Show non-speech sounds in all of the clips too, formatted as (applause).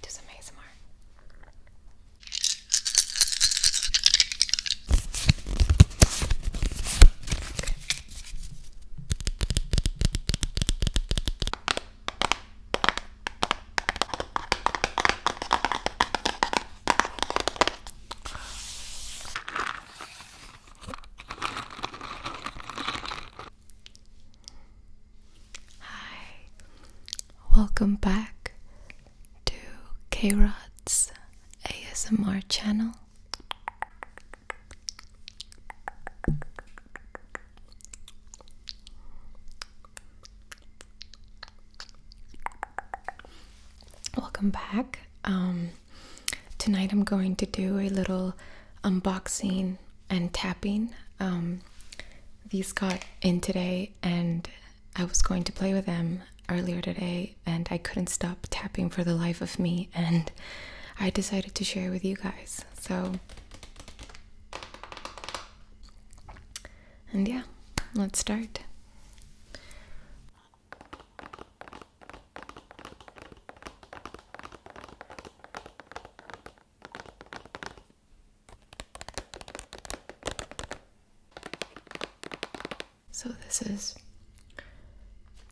Do some ASMR. Okay. Hi, welcome back to K Rod's ASMR channel. Welcome back. Um, tonight I'm going to do a little unboxing and tapping. Um, these got in today, and I was going to play with them earlier today, and I couldn't stop tapping for the life of me, and I decided to share with you guys. So, and yeah, let's start. So this is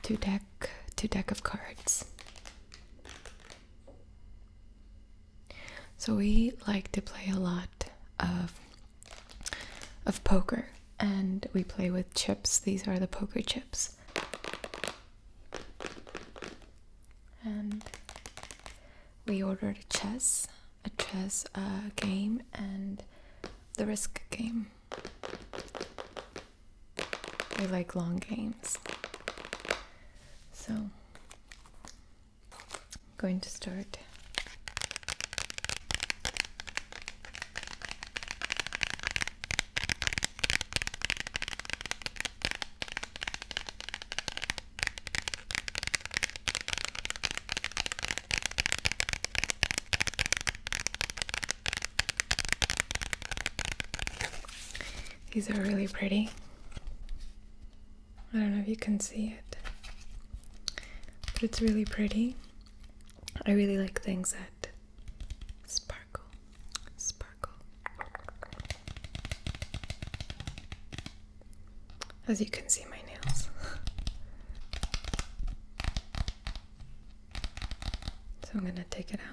two deck two deck of cards. So we like to play a lot of of poker and we play with chips. These are the poker chips and we ordered a chess, a chess uh, game, and the risk game. We like long games. So, I'm going to start. These are really pretty. I don't know if you can see it, but it's really pretty. I really like things that sparkle, sparkle. As you can see, my nails. so I'm going to take it out.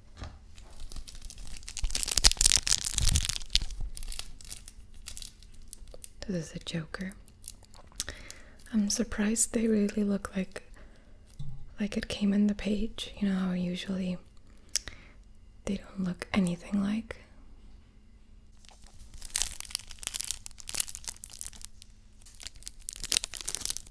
This is a Joker. I'm surprised they really look like like it came in the page. You know how usually they don't look anything like.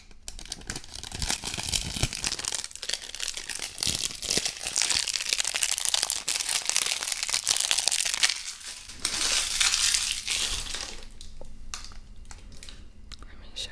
Let me show.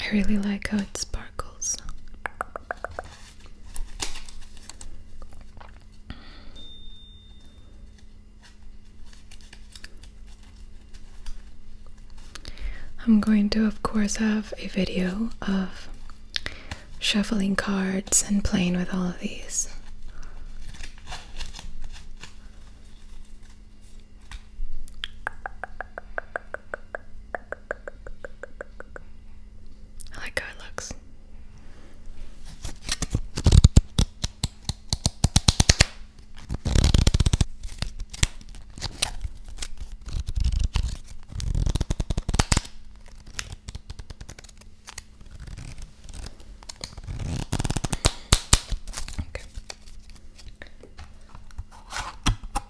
I really like how it sparkles. I'm going to, of course, have a video of shuffling cards and playing with all of these. I like how it looks. Okay.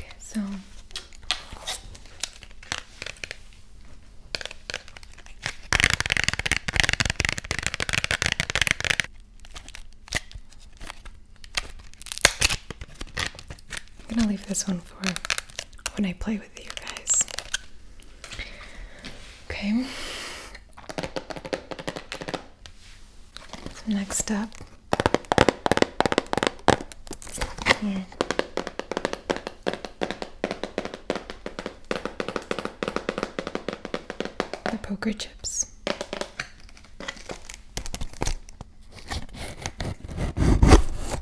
Okay, so I'm going to leave this one for when I play with you guys. Okay. next up. The poker chips.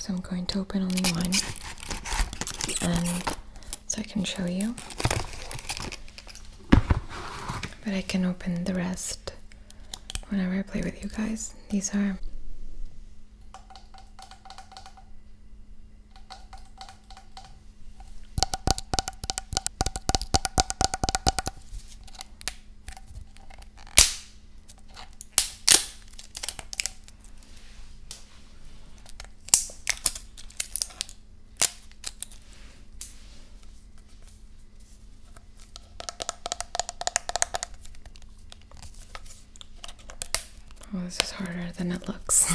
So I'm going to open only one and so I can show you. But I can open the rest whenever I play with you guys. These are Oh, this is harder than it looks.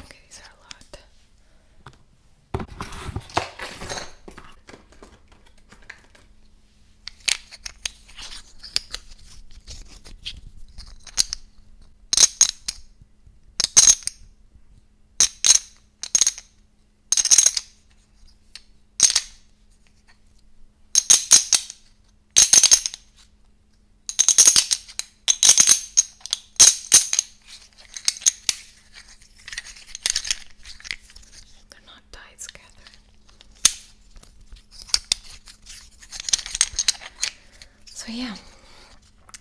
Okay, these are a lot. Okay, they're not tied together. So, yeah,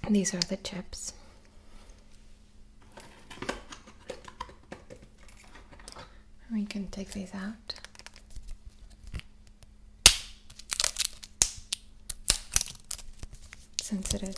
these are the chips. We can take these out. Since it is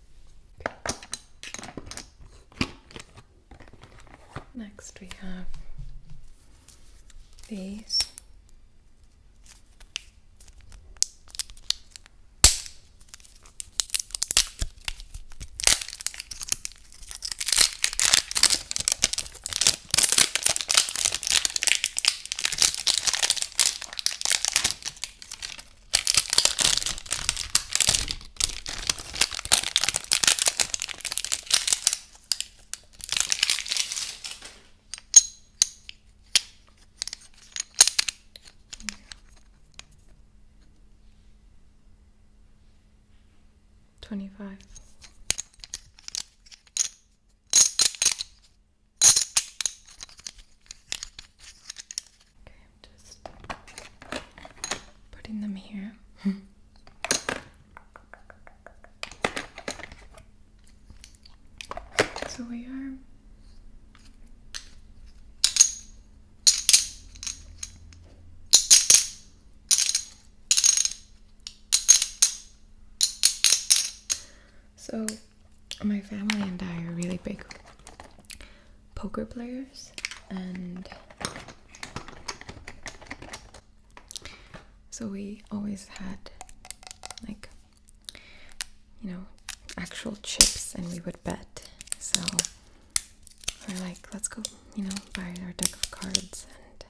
Next, we have these. Twenty five. Okay, I'm just putting them here. (laughs) so we are so my family and I are really big poker players, and so we always had like you know actual chips and we would bet. So we're like, let's go, you know, buy our deck of cards and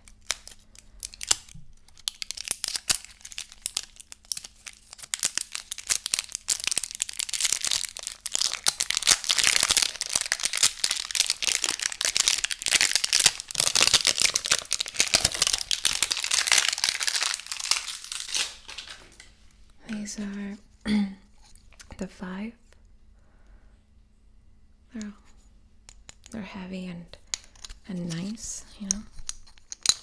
these are (clears throat) the five. They're they're heavy and and nice, you know.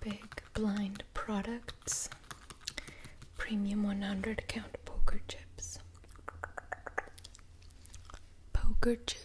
Big Blind Products Premium 100 Count Poker Chips. Poker Chips.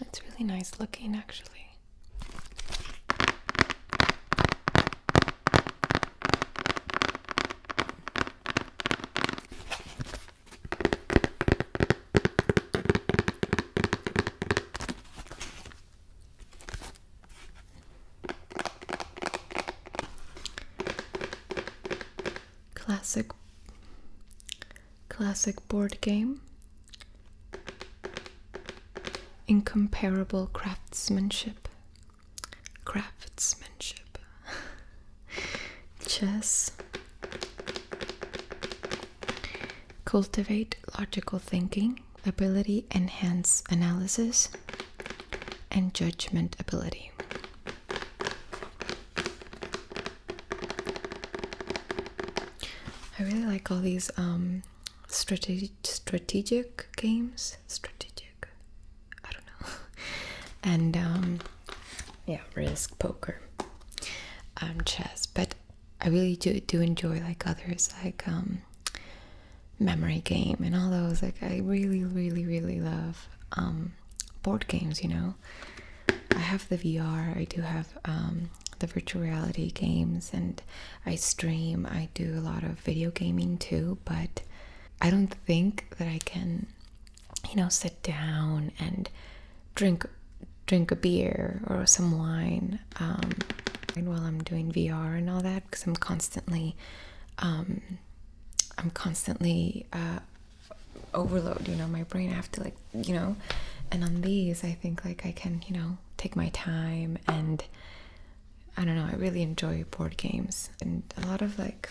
It's really nice looking, actually. Classic classic board game. Incomparable craftsmanship. Craftsmanship. (laughs) Chess. Cultivate logical thinking ability, enhance analysis, and judgment ability. I really like all these um, strategic games. Strategic. I don't know. (laughs) and um, yeah, risk, poker, um, chess. But I really do do enjoy like others, like um, memory game and all those. Like I really, really, really love um, board games. You know, I have the VR. I do have um, the virtual reality games, and I stream. I do a lot of video gaming too, but. I don't think that I can you know, sit down and drink drink a beer or some wine um, and while I'm doing VR and all that because I'm constantly um, I'm constantly uh, overload you know my brain I have to like you know and on these I think like I can you know take my time and I don't know I really enjoy board games and a lot of like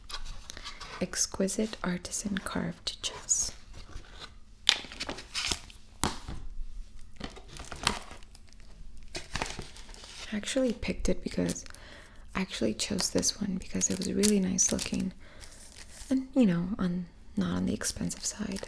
Exquisite artisan carved chess. I actually picked it because I actually chose this one because it was really nice looking and you know on not on the expensive side.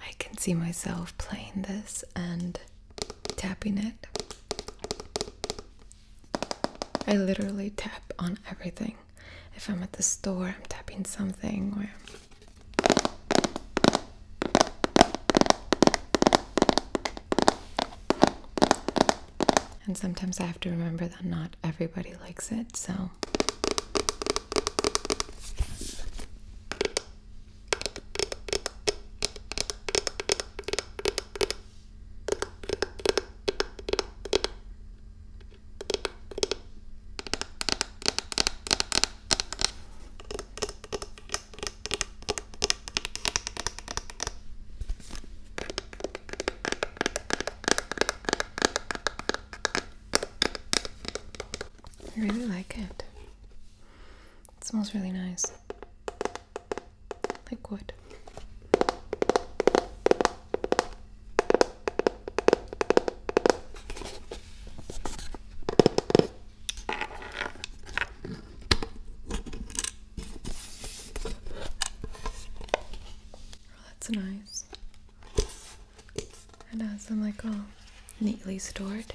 I can see myself playing this and tapping it. I literally tap on everything. If I'm at the store, I'm tapping something, or and sometimes I have to remember that not everybody likes it, so. I really like it. It smells really nice. Like wood. Oh, that's nice. It has them like all neatly stored.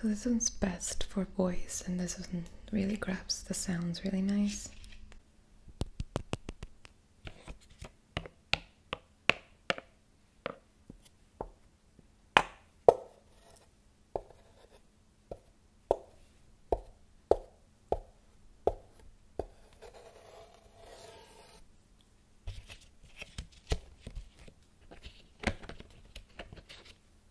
So this one's best for voice and this one really grabs the sounds really nice.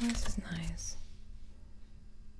Oh, this is nice.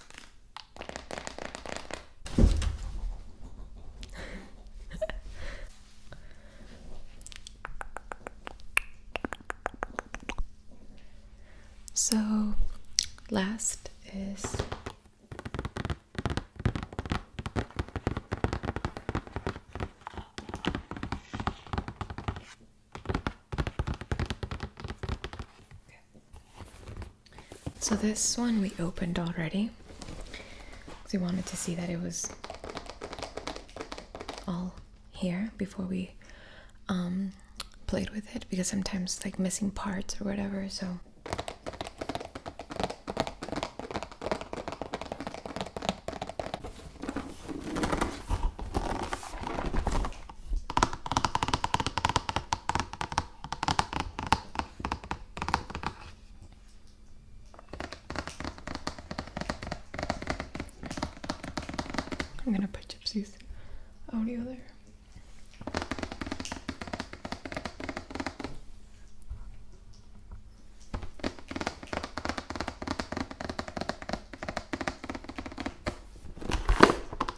(laughs) so, last is so this one we opened already because we wanted to see that it was all here before we um, played with it because sometimes like missing parts or whatever. So. I'm gonna put Gypsy's audio there.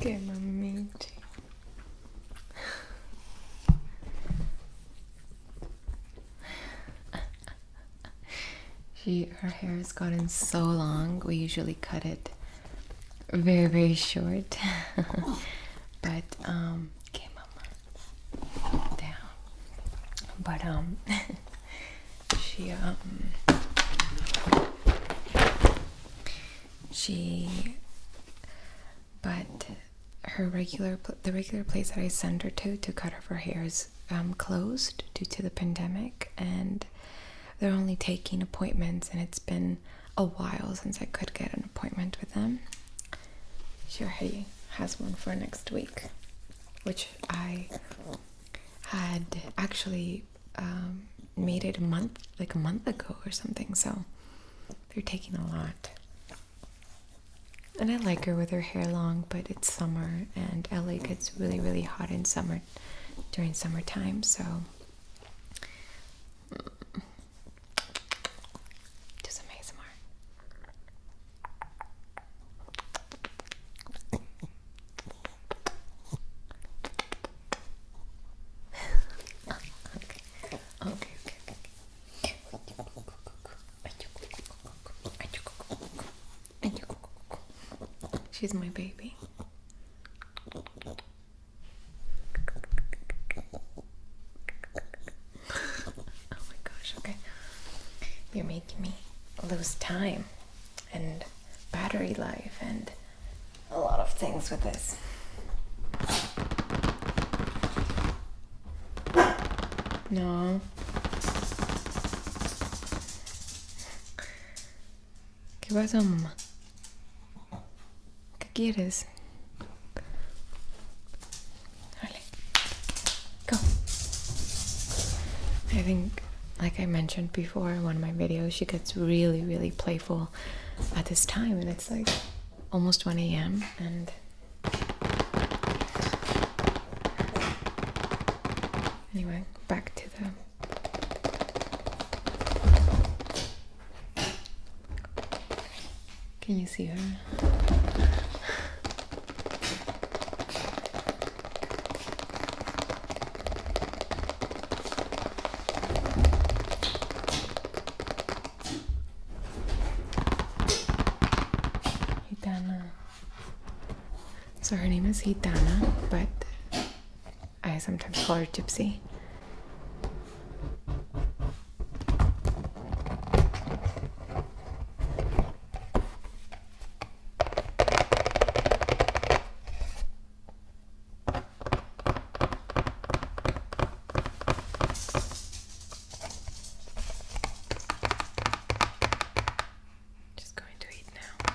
Che mammiti. she her hair has gotten so long. We usually cut it very very short. (laughs) but um okay mama down. But um (laughs) she um she but her regular the regular place that I send her to to cut off her hair is um, closed due to the pandemic and they're only taking appointments and it's been a while since I could get an appointment with them. Shirhei has one for next week, which I had actually um, made it a month, like a month ago or something. So they're taking a lot. And I like her with her hair long, but it's summer and LA gets really, really hot in summer during summertime. So do some ASMR okay. Okay, okay, okay, okay. She's my baby. (laughs) oh my gosh, okay. You're making me lose time and battery life and a lot of things with this. No. ¿Qué pasa, mamá? ¿Qué quieres? Vale. Go. I think, like I mentioned before in one of my videos, she gets really, really playful at this time and it's like almost 1 a.m and anyway back to the can you see her Hitana. So her name is Hitana, but I sometimes call her Gypsy. Just going to eat now.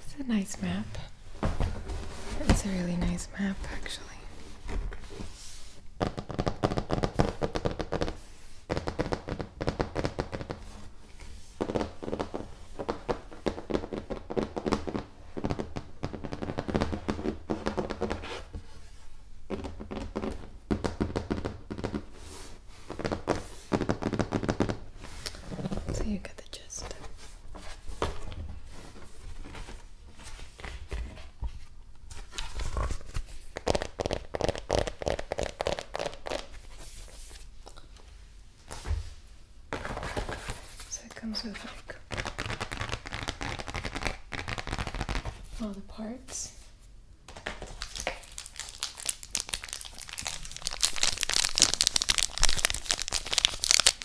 It's a nice map. It's a really nice map, actually the chest. So it comes with all the parts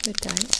the dice.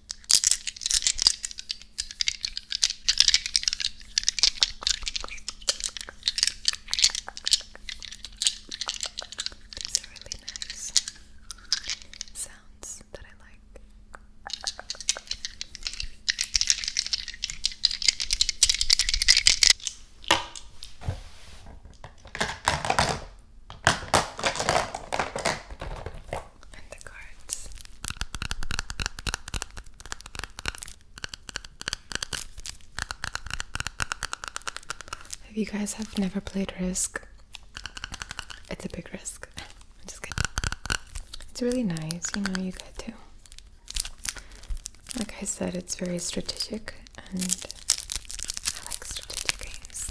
These are really nice sounds that I like the cards. If you guys have never played Risk, it's a big risk. (laughs) I'm just kidding. It's really nice, you know, you get to. Like I said, it's very strategic and I like strategic games.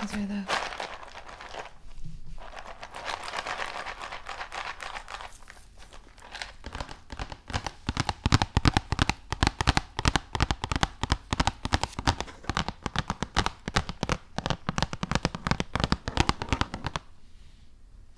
Those are the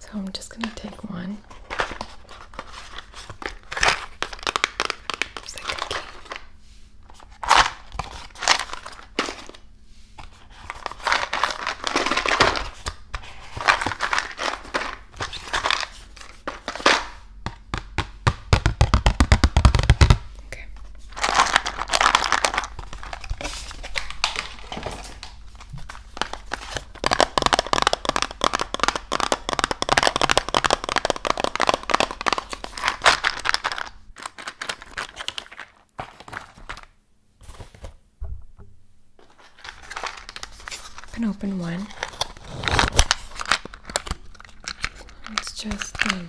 So I'm just going to take one. Okay can open one. It's just um,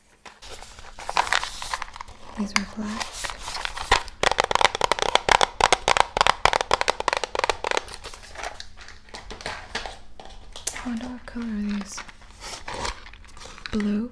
These were black. I wonder what color are these? Blue.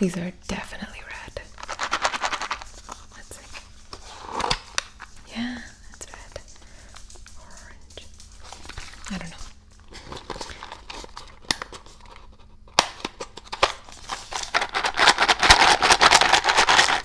These are definitely red. Let's see. Yeah, that's red. Orange. I don't know.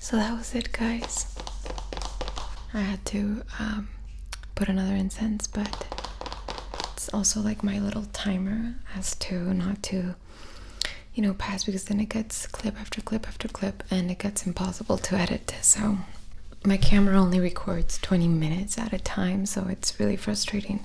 So that was it, guys. I had to um, put another incense, but it's also like my little timer as to not to you know pass because then it gets clip after clip after clip and it gets impossible to edit so my camera only records 20 minutes at a time so it's really frustrating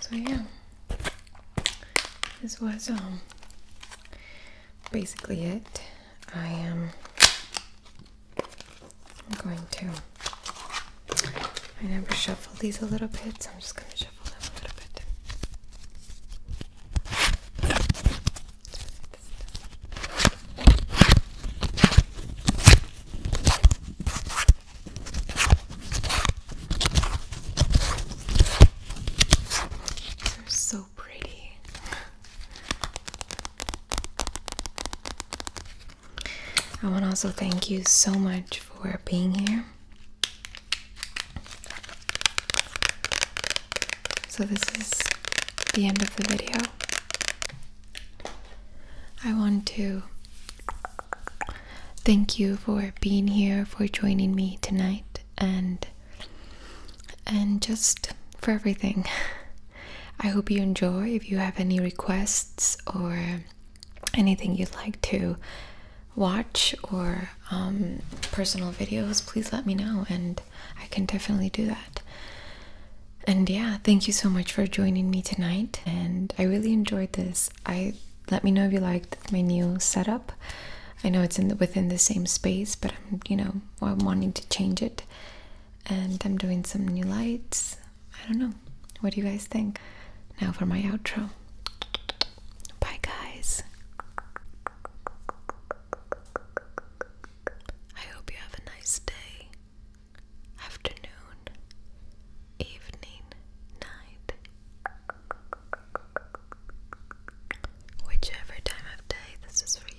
So yeah, this was um basically it. I am I'm going to. I never shuffle these a little bit, so I'm just gonna shuffle are so pretty. I want to also thank you so much for being here. So, this is the end of the video. I want to thank you for being here, for joining me tonight, and and just for everything. (laughs) I hope you enjoy. If you have any requests or anything you'd like to watch or um, personal videos, please let me know, and I can definitely do that. And yeah, thank you so much for joining me tonight. And I really enjoyed this. I let me know if you liked my new setup. I know it's in within the same space, but I'm you know I'm wanting to change it, and I'm doing some new lights. I don't know. What do you guys think? Now for my outro. Bye, guys. I hope you have a nice day, afternoon, evening, night, whichever time of day this is for you.